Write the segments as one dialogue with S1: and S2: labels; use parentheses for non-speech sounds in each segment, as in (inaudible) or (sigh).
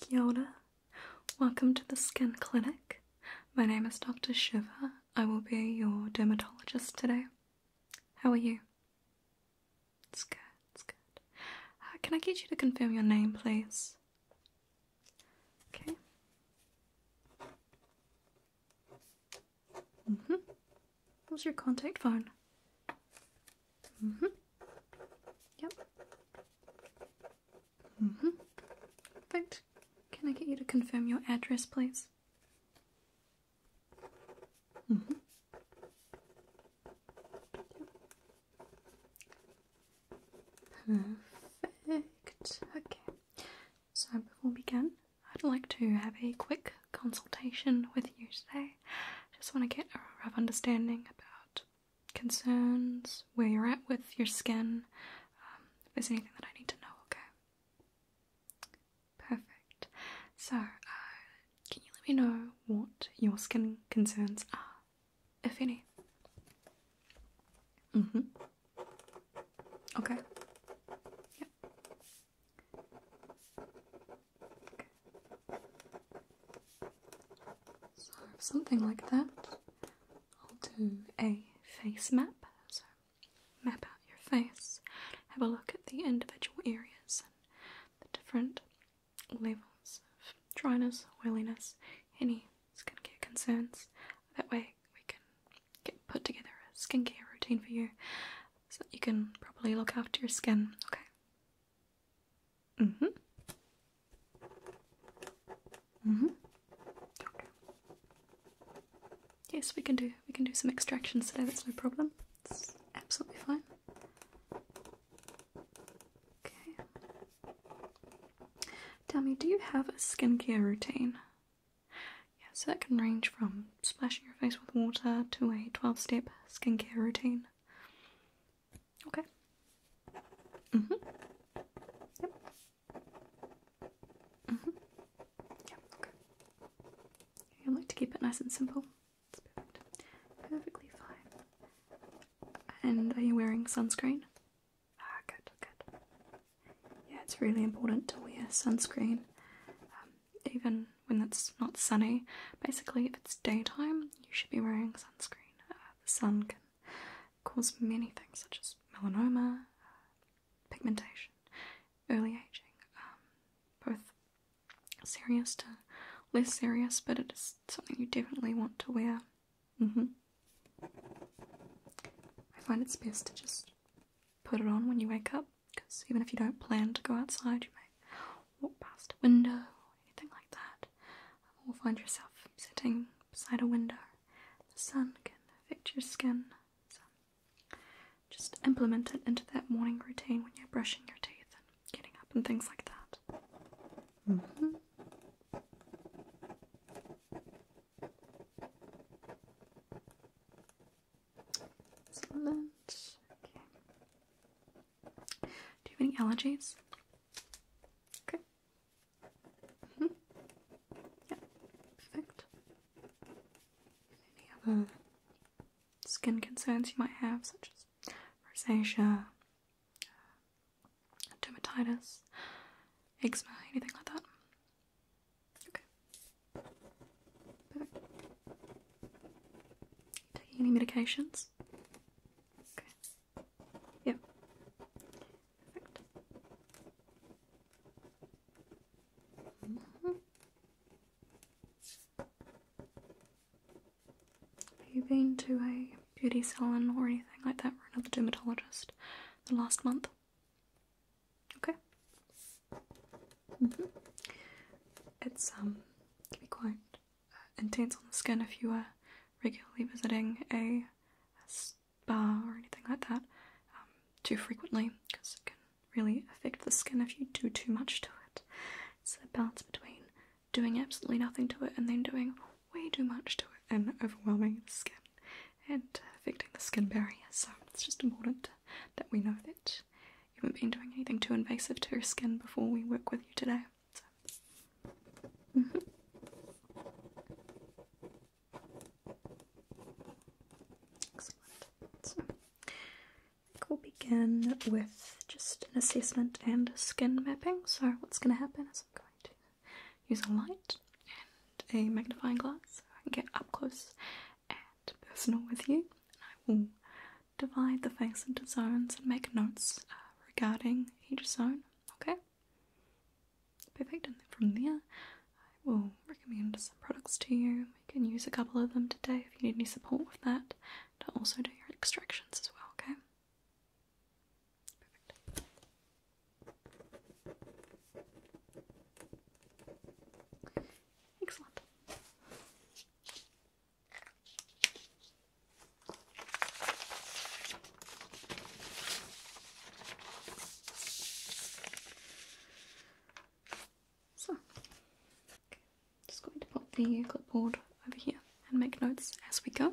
S1: Kia Welcome to the Skin Clinic. My name is Dr. Shiva. I will be your dermatologist today. How are you? It's good, it's good. Uh, can I get you to confirm your name, please? Okay. Mm hmm. What's your contact phone? Mm hmm. Yep. Mm hmm. Perfect. Can I get you to confirm your address, please? Mm hmm. Yep. Perfect. Okay. So, before we begin, I'd like to have a quick consultation with you today. I just want to get a rough understanding about concerns, where you're at with your skin, um, if there's anything that I need to know, okay? Perfect. So, uh, can you let me know what your skin concerns are, if any? Mm hmm. Okay. So something like that. I'll do a face map. So map out your face, have a look at the individual areas and the different levels of dryness, oiliness, any skin care concerns. That way we can get put together a skincare routine for you so that you can properly look after your skin, okay? Mm hmm. Mm hmm. Yes, we can do we can do some extractions today. That's no problem. It's absolutely fine. Okay. Tell me, do you have a skincare routine? Yeah, so that can range from splashing your face with water to a 12 step skincare routine. Okay. Mm-hmm. Yep. Mm-hmm. Yep, okay. I like to keep it nice and simple. perfect. Perfectly fine. And are you wearing sunscreen? Ah, good, good yeah, it's really important to wear sunscreen um, even when it's not sunny. Basically, if it's daytime, you should be wearing sunscreen. Uh, the sun can cause many things such as melanoma, uh, pigmentation, early aging, um, both serious to less serious, but it is something you definitely want to wear. Mm-hmm. I find it's best to just put it on when you wake up because even if you don't plan to go outside, you may walk past a window or anything like that, or find yourself sitting beside a window. The sun can affect your skin, so just implement it into that morning routine when you're brushing your teeth and getting up and things like that. Mm-hmm. Excellent. Okay. Do you have any allergies? Okay. Mm-hmm. Yeah. Perfect. Any other skin concerns you might have, such as rosacea, dermatitis, eczema, anything like that? Okay. Perfect. Taking any medications? Okay. Yep. Perfect. Mm-hmm. Have you been to a beauty salon or anything like that, or another dermatologist, the last month? Okay. Mm-hmm. It's um be quite uh, intense on the skin if you are regularly visiting a, spa or anything like that um, too frequently because it can really affect the skin if you do too much to it. It's a balance between doing absolutely nothing to it and then doing way too much to it and overwhelming the skin and uh, affecting the skin barrier. So it's just important that we know that you haven't been doing anything too invasive to your skin before we work with you today. So. Mm-hmm. Excellent. So, we'll begin with just an assessment and a skin mapping. So, what's going to happen is I'm going to use a light and a magnifying glass so I can get up close and personal with you, and I will divide the face into zones and make notes uh, regarding each zone, okay? Perfect, and from there, I will recommend some products to you. We can use a couple of them today if you need any support with that, to also do your extractions as well, okay? Perfect. Thanks So, just going to pop the clipboard over here and make notes as we go.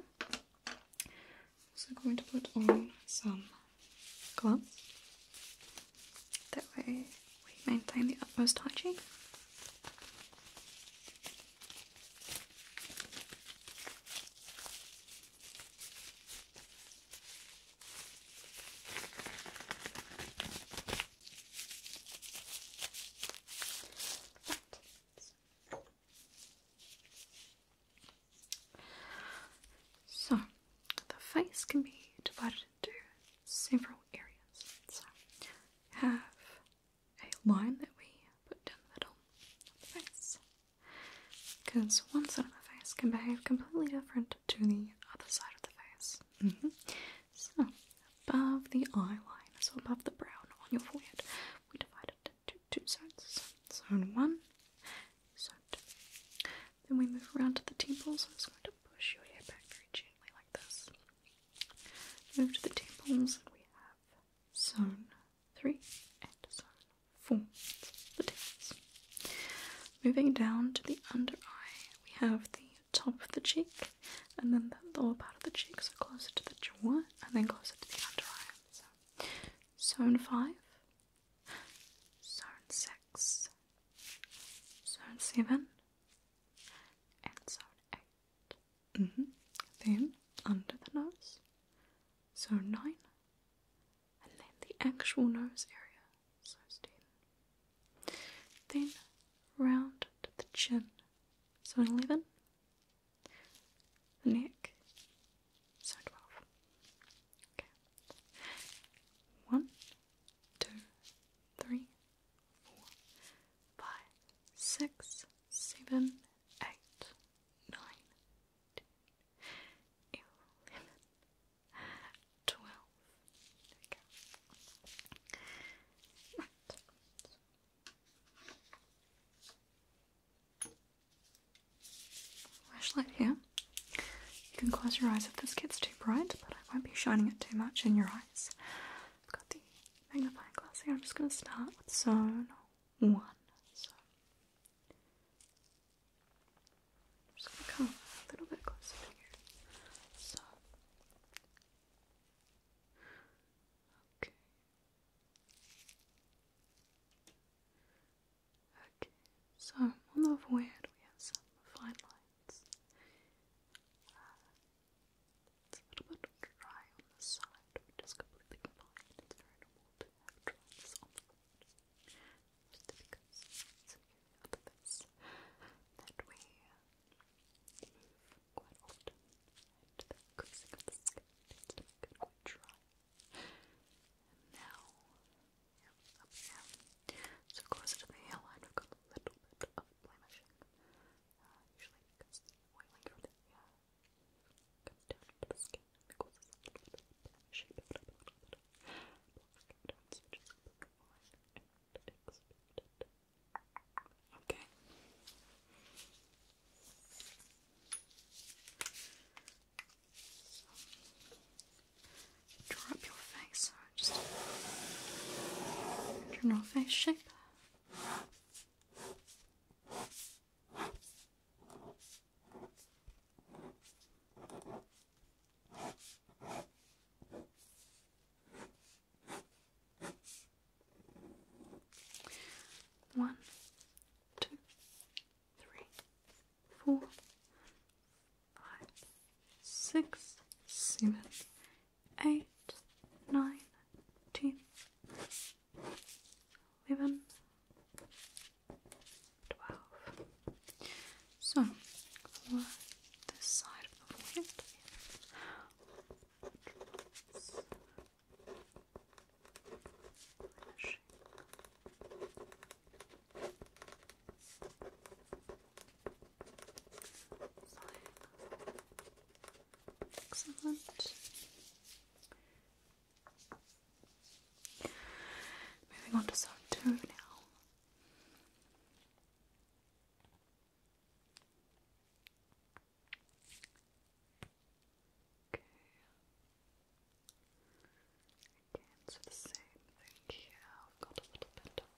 S1: Also going to put on some gloves. That way we maintain the utmost hygiene. So, the face can be divided to several areas. So have a line that we put down the middle of the face. Because one side of the face can behave completely different to the other side of the face. Mm-hmm. So above the eye line, so above the brow on your forehead, we divided into two sides. Zone one, zone two. Then we move around to the temples. I'm just going to push your hair back very gently like this. Move to the temples, and we have zone 3 and zone 4. The temples. Moving down to the under eye, we have the top of the cheek, and then the lower part of the cheek, so closer to the jaw, and then closer to the under eye. So, zone 5, zone 6, zone 7 and zone 8. Mm-hmm. Then under the nose, zone 9, and then the actual nose area, zone 10. Then round to the chin, zone 11, the neck, zone 12. Okay. One, two, three, four, five, six, seven, eight, nine, 10, 11, 12. Okay. Right. Flashlight here. You can close your eyes if this gets too bright, but I won't be shining it too much in your eyes. I've got the magnifying glass here. I'm just going to start with zone one. So I'm just going to come a little bit closer to you. So, okay. Okay, so on the forehead we have some fine lines else. Uh, it's a little bit dry on the side, which completely fine. It's very normal to have dryness on the road. Just because it's an area that we move quite often, and the creasing of the skin tends dry. now, yeah, up So closer to the hairline, I've got a little bit of blemishing. Uh, usually because the oiling comes down to the skin and causes little bit of blemishing, a little a little bit and Okay. Draw up your face, just general face shape. One, two, three, four, five, six, seven, eight, nine, ten, eleven, twelve. So for this side of the forehead. Excellent. Moving on to zone two now. Okay. Again, so the same thing I've got a little bit of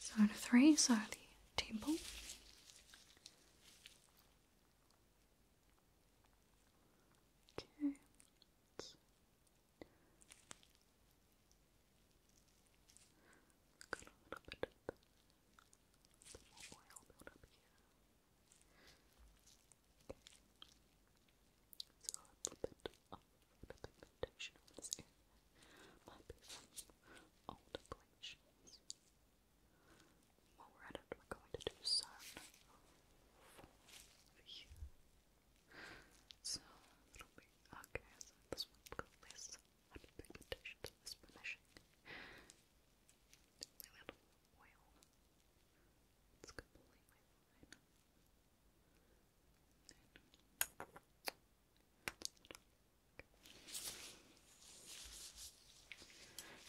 S1: So the three are the temple. Okay. Got a little bit of more oil built Okay. So a little bit of the pigmentation on this area might be from old glaciers. While we're at it, we're going to do some here. So it'll be okay. So this one's Happy pigmentations of this oil. It's completely fine.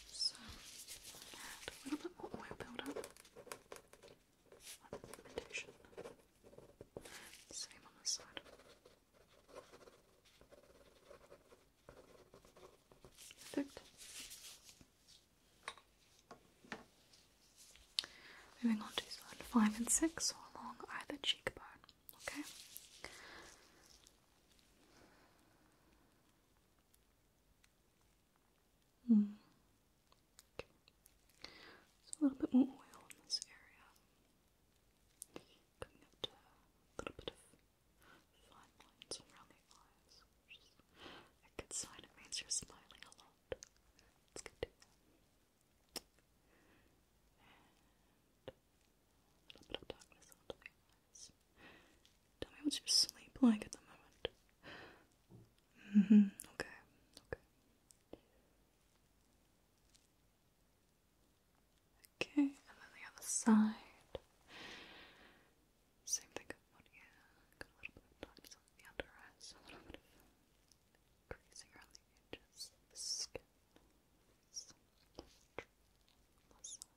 S1: so, a little bit more oil buildup Same on this side. Perfect. Moving on to 5 and 6, or along either cheekbone, okay? Mm. a little bit more oil in this area a little bit of fine lines around the eyes, a good sign. It means you're smiling a lot. It's good. a little bit of darkness onto the eyes. Tell me what's your sleep like at the moment. Mm-hmm. Okay. Okay. Okay, and then the other side. Same thing a little bit of tightness on the under eyes, a little bit of creasing around the edges of the skin. So, that side.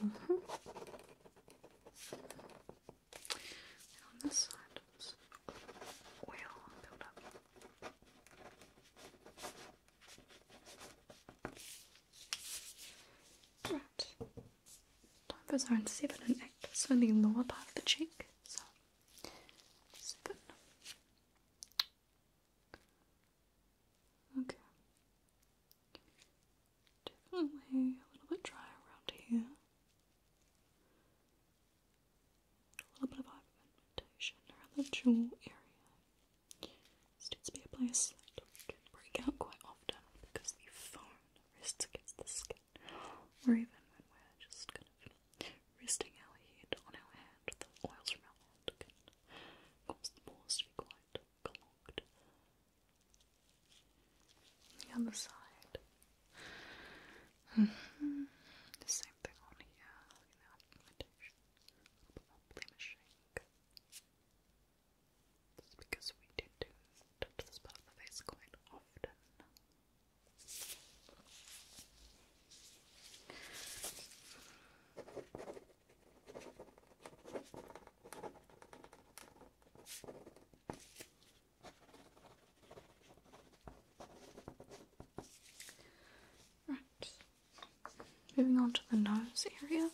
S1: Mm-hmm. on this side, oil build up. Right. Time for zone 7 and 8, so in the lower part of the cheek. So, second. Okay. Definitely a little bit dry around here. A little bit of hyperpigmentation around the jaw area. This needs to be a place that can break out quite often because the foam rests against the skin or even when we're just kind of resting our head on our hand, the oils from our hand can cause the pores to be quite clogged. The other side. Mm-hmm. The same thing on here, looking at our pigmentation. A bit more blemishing. because we tend to touch this part of the face quite often. Right. Moving on to the nose area.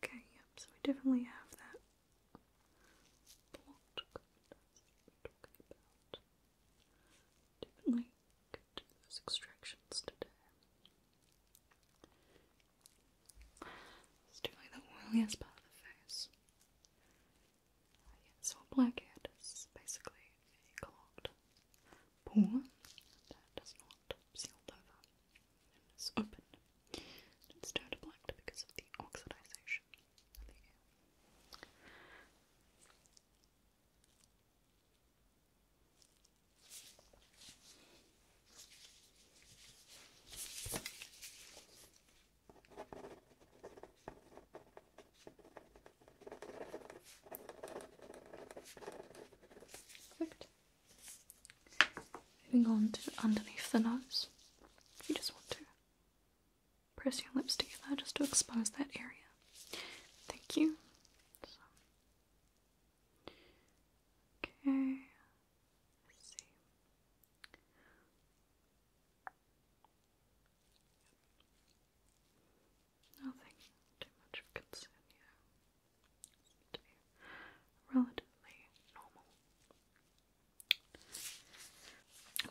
S1: Okay, yep, so we definitely have that plot talking about. Definitely do those extractions today. Let's the oiliest part of the face. so blackhead is basically a clogged pore that does not sealed over and is opened. It's turned black because of the oxidization of the air. Perfect. Moving on to underneath the nose. You just want to press your lips together just to expose that area. Thank you. Okay. Nothing too much of concern here. to be relatively normal.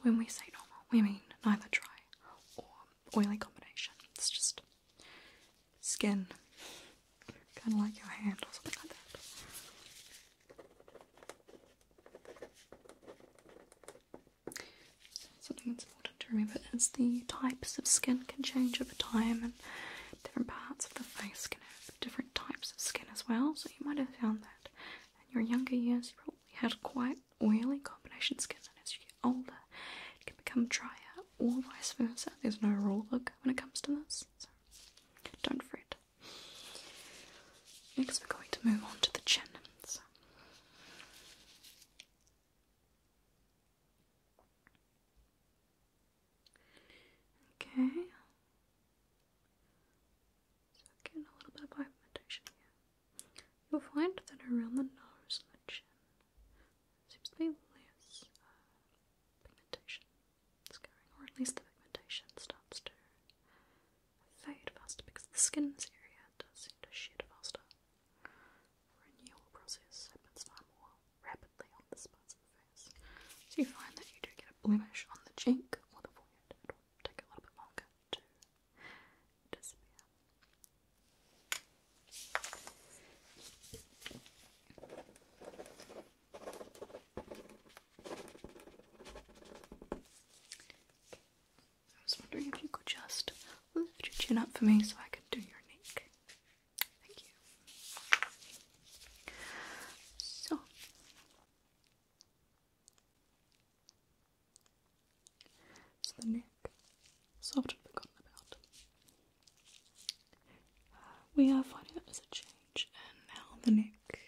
S1: When we say normal, we mean neither dry or oily combination. It's just skin, kind of like your hand or something like that important to remember is the types of skin can change over time and different parts of the face can have different types of skin as well. So you might have found that in your younger years you probably had quite oily combination skin and as you get older it can become drier or vice versa. There's no rule book when it comes to this. So don't fret. Next we're going to move on to the chin. Okay. So again, a little bit of pigmentation You'll find that around the nose and the chin seems to be less uh, pigmentation going, or at least the pigmentation starts to fade faster because the skin in this area does seem to shed faster renewal process happens far more rapidly on this part of the face. So you find that you do get a blemish on the cheek or will take a little bit longer to disappear. I was wondering if you could just lift your chin up for me so I can do your neck. So so the neck is often forgotten about. Uh, we are finding that as a change and now the neck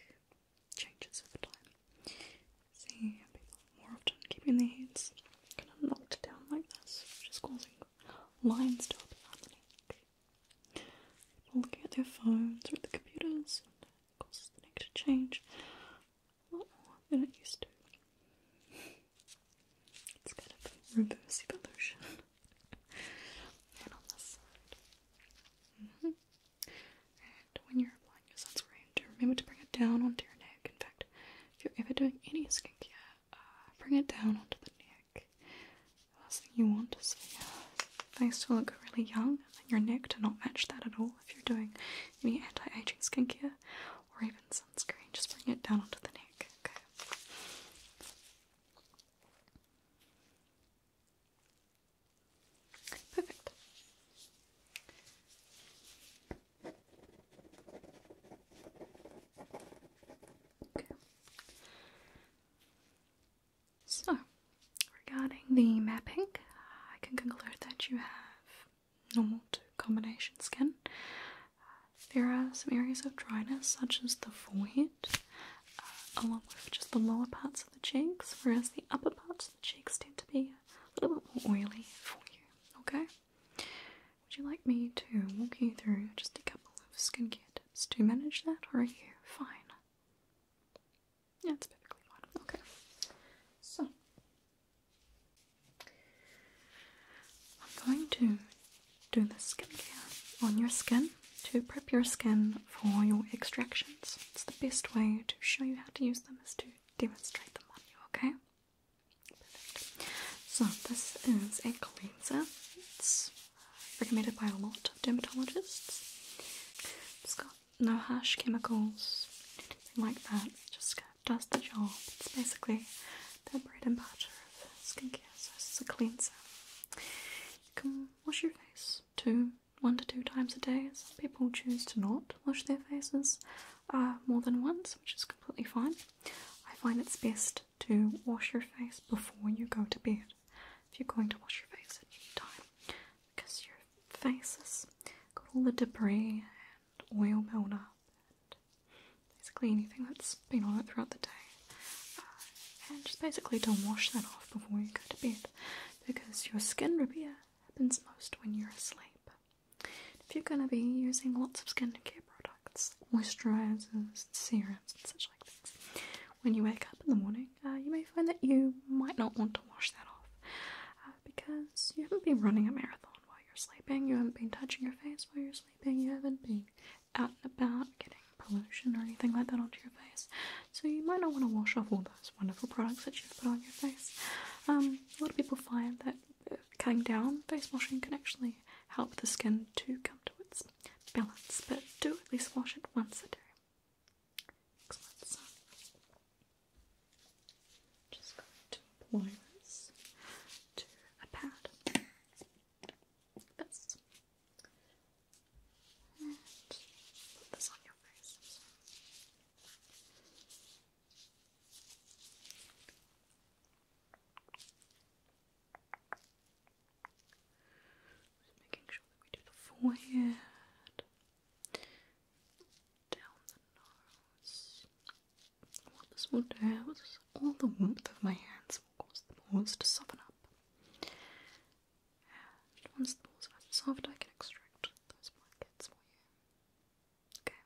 S1: changes over time. See people more often keeping their heads kind of knocked down like this, which causing lines stop happening. looking at their phones or at the computers causes the neck to change a lot more than it used to. It's kind of reverse evolution. (laughs) and on this side. Mm-hmm. And when you're applying your sunscreen, remember to bring it down on your neck. In fact, if you're ever doing any skincare, uh, bring it down onto the neck. The last thing you want is for your face to look really young and your neck to not match that at all if you're doing any anti-aging skincare or even sunscreen. Just bring it down onto the neck, okay? Perfect. So, regarding the mapping, I can conclude that you have normal to combination skin. there are some areas of dryness, such as the forehead, uh, along with just the lower parts of the cheeks, whereas the upper parts of the cheeks tend to be a little bit more oily for you. Okay? Would you like me to walk you through just a couple of skincare tips to manage that, or are you fine? Yeah, it's perfectly fine. Okay. So, I'm going to do the skincare on your skin to prep your skin for your extractions. It's the best way to show you how to use them is to demonstrate them on you, okay? So this is a cleanser. It's recommended by a lot of dermatologists. It's got no harsh chemicals, anything like that. It just does the job. It's basically the bread and butter of skincare. So this is a cleanser. You can wash your face two, one to two times a day. Some people choose to not wash their faces uh, more than once, which is completely fine. I find it's best to wash your face before you go to bed. If you're going to wash your face at any time, because your face has got all the debris and oil buildup, and basically anything that's been on it throughout the day. Uh, and just basically to wash that off before you go to bed, because your skin repair happens most when you're asleep. If you're going to be using lots of skincare products, products, moisturizers, serums, and such like things. When you wake up in the morning, uh, you may find that you might not want to wash that off uh, because you haven't been running a marathon while you're sleeping, you haven't been touching your face while you're sleeping, you haven't been out and about getting pollution or anything like that onto your face. So you might not want to wash off all those wonderful products that you've put on your face. Um, a lot of people find that uh, cutting down face washing can actually help the skin to come afterwards. Balance, but do at least wash it once a day. just going to apply this to a pad. Like this. And put this on your face. Just making sure that we do the forehead, down the nose. What this will do is all the warmth of my hands will cause the balls to soften up. once the balls are soft, I can extract those blankets for you. Okay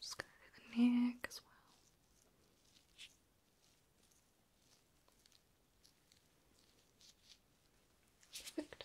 S1: just gonna the neck as well. Perfect.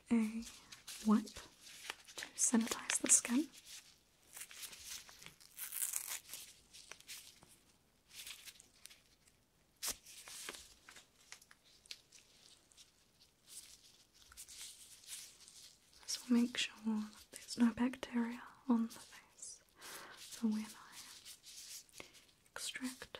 S1: a wipe to sanitize the skin. This will make sure that there's no bacteria on the face for when I extract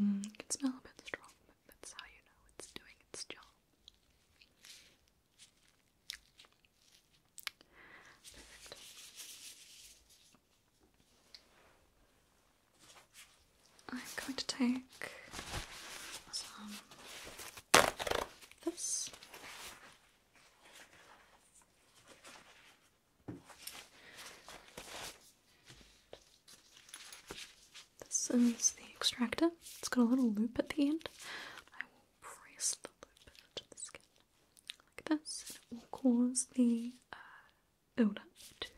S1: Mm, it can smell a bit strong, but that's how you know it's doing its job. I'm going to take some this. This is the extractor. It's got a little loop at the end. I will press the loop into the skin like this, and it will cause the uh, buildup to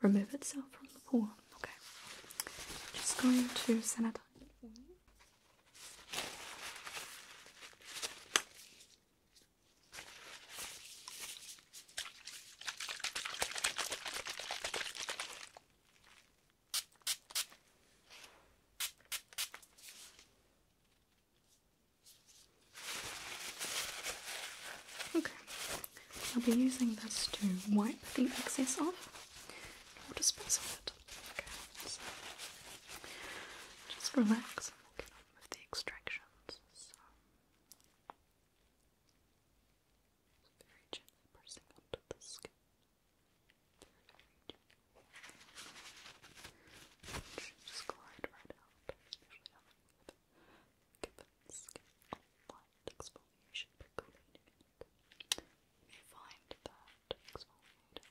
S1: remove itself from the pore. Okay, just going to sanitize. Okay, I'll be using this to wipe the excess off. I'll it. Okay, just relax and we'll get with the extractions. So. Very gently pressing onto the skin. Very, very gently. just glide right out. give the skin a light exfoliation cleaning You find that exfoliating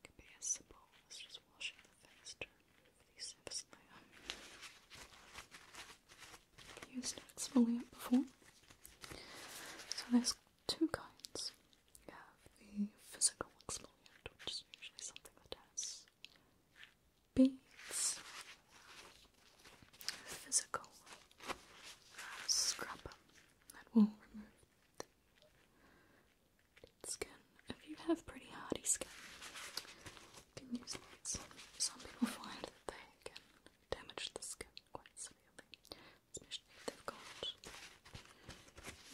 S1: can be as simple as just washing the face Used exfoliant before. So there's two kinds. You have the physical exfoliant, which is usually something that has beads. Physical uh, scrubber that will remove the skin. If you have pretty hardy skin, can use that. Some people find that they can damage the skin quite severely, especially if they've got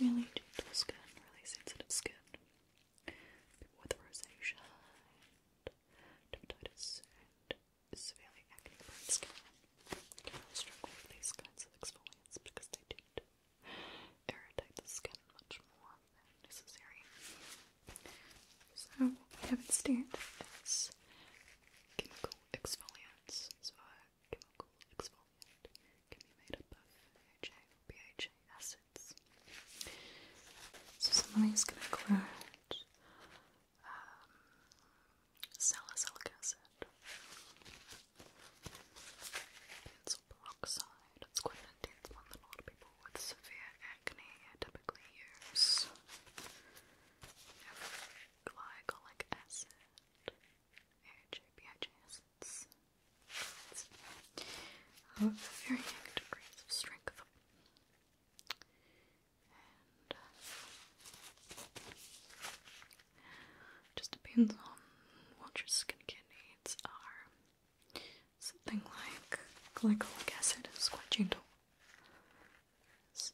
S1: really gentle skin, really sensitive skin. with rosacea dermatitis severely acne prone skin can struggle with these kinds of exfoliants because they tend irritate the skin much more necessary. So what we have instead is chemical exfoliants. So a chemical exfoliant can be made up of AHA or BHA acids. So some of these can include um, salicylic acid, benzoyl peroxide. It's quite an intense one that a lot of people with severe acne typically use glycolic acid, AHA, acids. Of oh, varying degrees of strength. And uh, just depends on what your skincare needs are something like glycolic acid is quite gentle. So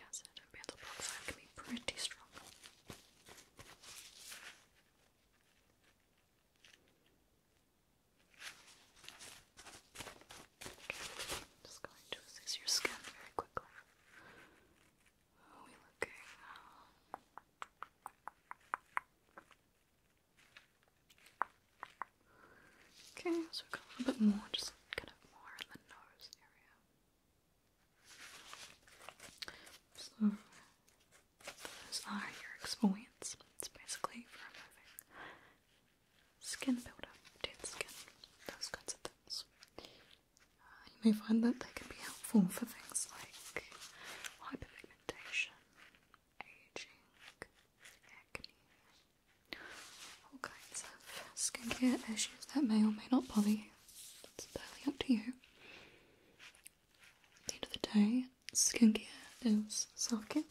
S1: acid and benzyl peroxide can be pretty strong. just going to assess your skin very quickly. How Okay, so we've got a little bit more, just kind of more in the nose area. So, those are your exfoliants. It's basically for removing skin buildup, dead skin, those kinds of things. Uh, you may find that they can be helpful for things like hyperpigmentation, aging, acne, all kinds of skincare issues that may or may not bother you. It's entirely up to you. At the end of the day, skincare is self care.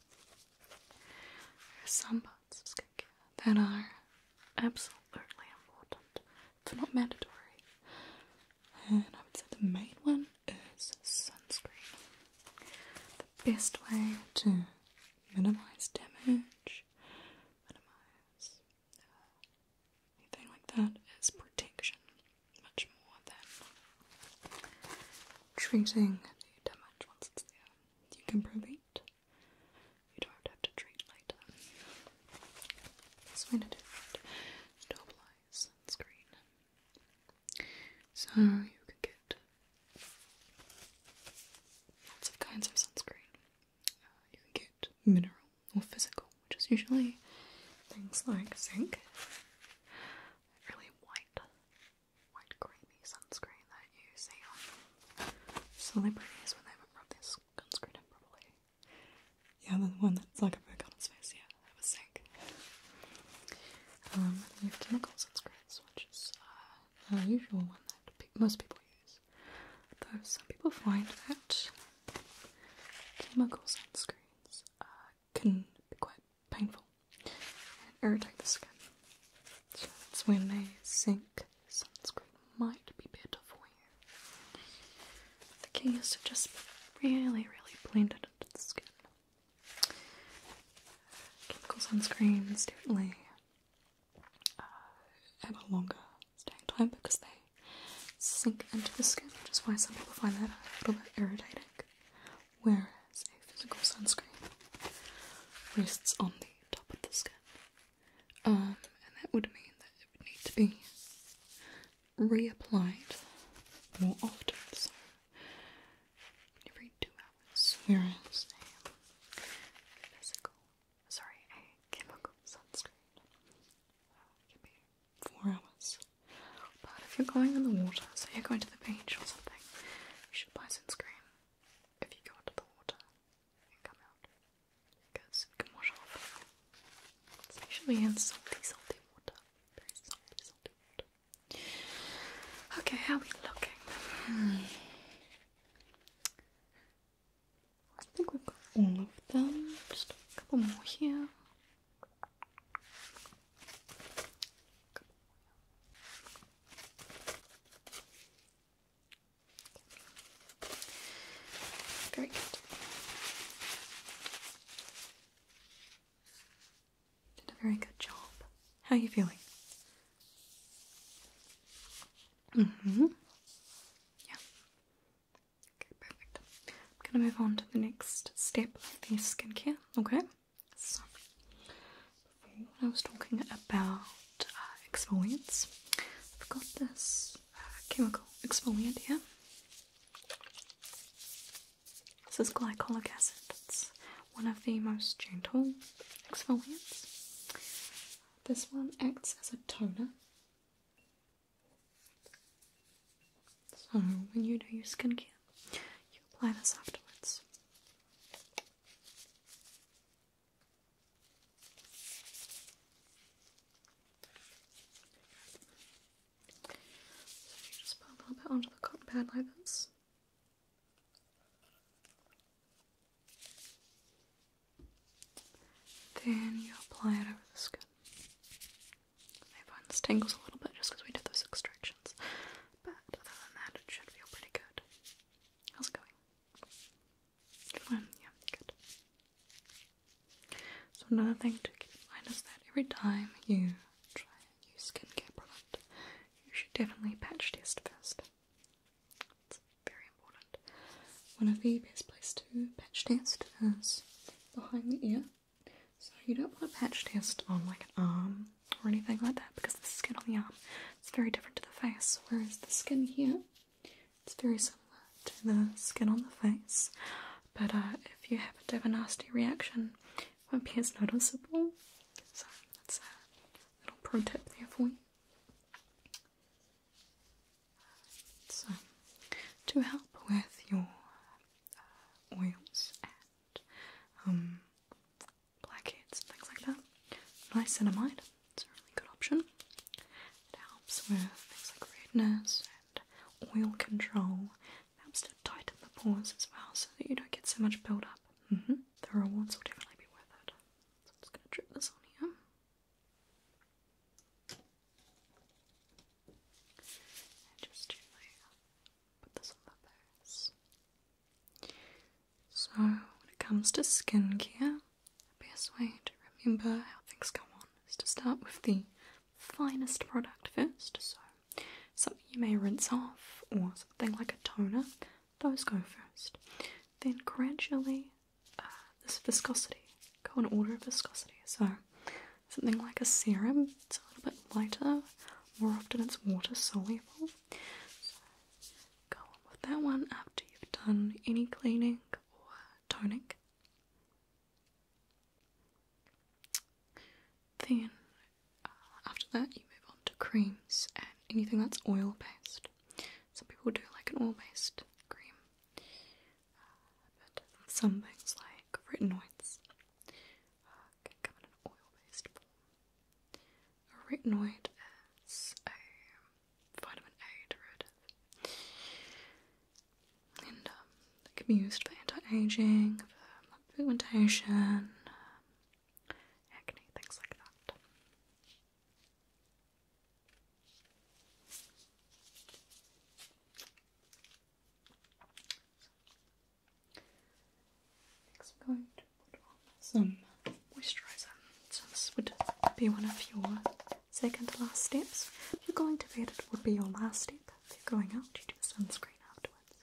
S1: There are some parts of skincare that are absolutely important, if not mandatory. And I would say the main one is sunscreen. The best way to minimize damage, minimize uh, anything like that, is protection much more than treating the damage once it's there. You can prevent, you don't have to treat later. That's when it is. It all lies on so you could get lots of kinds of sunscreen. Uh, you can get mineral or physical, which is usually things like zinc. Really white, white creamy sunscreen that you see on celebrities when they have rubbed their sunscreen in Yeah, the one that's like a book on its face, yeah, that was zinc. Um, you have chemical sunscreens, which is uh, usual one that most people use. Though some people find that chemical sunscreens uh, can be quite painful and irritate the skin. So that's when a zinc sunscreen might be better for you. The key is to just really, really blend it into the skin chemical sunscreens definitely have uh, a longer staying time because they sink into the skin, which is why some people find that a little bit irritating. Whereas a physical sunscreen rests on the top of the skin, um, and that would mean that it would need to be reapplied more often every two hours we are physical, sorry, a chemical sunscreen. can be four hours. But if you're going in the water, so you're going to the beach or something, you should buy sunscreen if you go into the water and come out because it can wash off. It's in salty, salty water. Very salty, salty water. Okay, how are we looking? Hmm. I think we've got all of them. Just a couple more here. Very good. Did a very good job. How are you feeling? hmm Yeah. Okay, perfect. I'm gonna move on to the next step of the skincare, okay? So I was talking about uh, exfoliants. I've got this uh, chemical exfoliant here. This is glycolic acid one of the most gentle exfoliants. This one acts as a toner. So when you do your skincare, you apply this afterwards. So you just put a little bit onto the cotton pad like this. Then you apply it over the skin. My bones tingles a little bit just because we did those extractions, but other than that, it should feel pretty good. How's it going? Fun, yeah, good. So another thing to keep in mind is that every time you try a new skincare product, you should definitely patch test first. It's very important. One of the best places to patch test is behind the ear. So you don't want to patch test on like an arm or anything like that because the skin on the arm is very different to the face, whereas the skin here it's very similar to the skin on the face. But uh, if you happen to have a nasty reaction, won't be as noticeable. So that's a little pro tip there for you. So, to help with your uh, oils and um, blackheads and things like that, niacinamide its a really good option. It helps with things like redness and oil control. helps to tighten the pores as well so that you don't get so much buildup Mm -hmm. The rewards will definitely be worth it. So I'm just going to drip this on here. just gently put this on my face. So, when it comes to skincare, the best way to remember how things go on is to start with the finest product first. So, something you may rinse off, or something like a toner those go first. Then gradually, uh, this viscosity, go in order of viscosity. So, something like a serum, it's a little bit lighter, more often it's water soluble. go with that one after you've done any cleaning or toning. Then uh, after that, you move on to creams and anything that's oil based. Some people do like an oil based cream, uh, but some things like retinoids uh, can come in an oil based form. A retinoid is a vitamin A derivative, and um, can be used for anti aging, for pigmentation, um, acne, things like that. Next, I'm going to put on some moisturizer. So, this would be one of your second to last steps. If you're going to bed, it would be your last step. If you're going out, you do sunscreen afterwards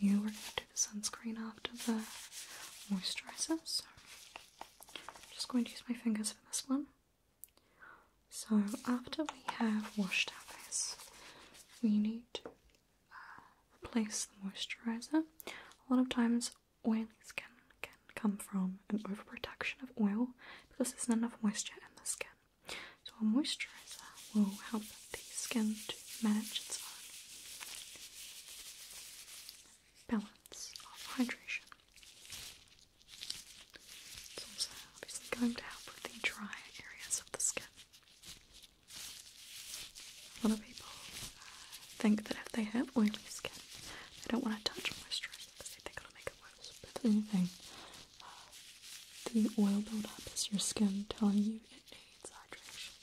S1: you we're gonna do the sunscreen after the moisturizer. So I'm just going to use my fingers for this one. So after we have washed our face, we need to uh, replace the moisturizer. A lot of times, oily skin can come from an overproduction of oil because there's not enough moisture in the skin. So a moisturizer will help the skin to manage its own balance of hydration. It's also obviously going to help with the dry areas of the skin. A lot of people uh, think that if they have oily skin, they don't want to touch moisturizer because they think it'll make it worse. But anything, uh, the oil buildup is your skin telling you it needs hydration.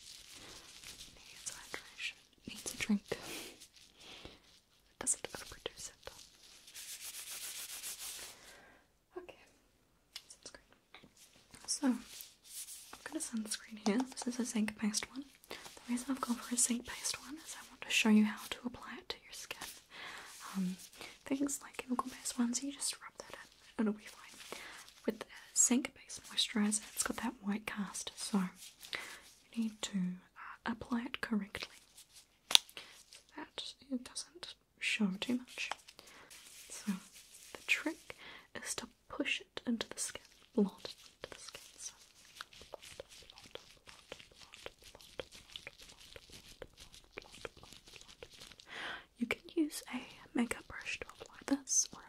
S1: Needs hydration. Needs a drink. Doesn't overproduce it. Okay. Sunscreen. So, I've got a sunscreen here. This is a zinc based one. The reason I've gone for a zinc based one is I want to show you how to apply it to your skin. Um, things like chemical based ones, you just rub that in. It'll be fine. With the Sink Base Moisturizer, it's got that white cast, so you need to uh, apply it correctly that it doesn't show too much. So the trick is to push it into the skin, blot into the skin. So You can use a makeup brush to apply this,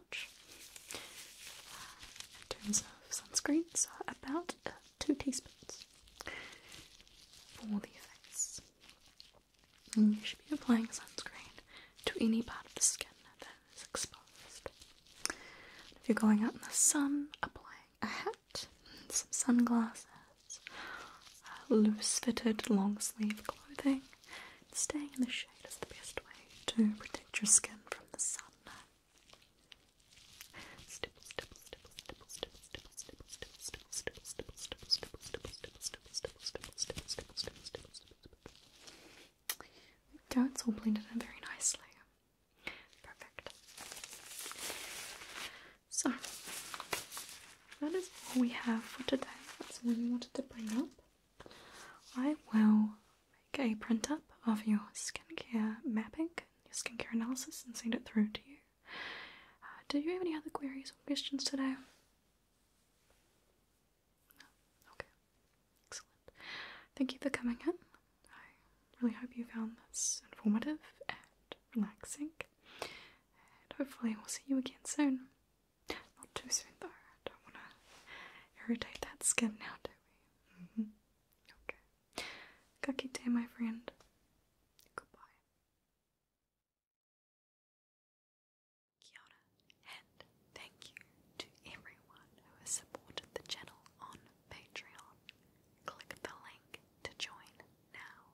S1: Uh, in terms of sunscreen, so uh, about uh, two teaspoons for the face. you should be applying sunscreen to any part of the skin that is exposed. If you're going out in the sun, applying a hat, some sunglasses, loose fitted long sleeve clothing, staying in the shade is the best way to protect your skin from the sun Stipple, it's all blended in very nicely. Perfect. So that is all we have for today. That's all we wanted to bring up. I will make a print up of your skincare mapping, your skincare analysis, and send it through to you. Uh, do you have any other queries or questions today? No? Okay. Excellent. Thank you for coming in. I really hope you found this informative and relaxing. And hopefully, we'll see you again soon. Not too soon, though. I don't want to irritate that skin now, do we? Mm-hmm. Okay. Kakite, my friend. Goodbye. Kia and thank you to everyone who has supported the channel on Patreon. Click the link to join now.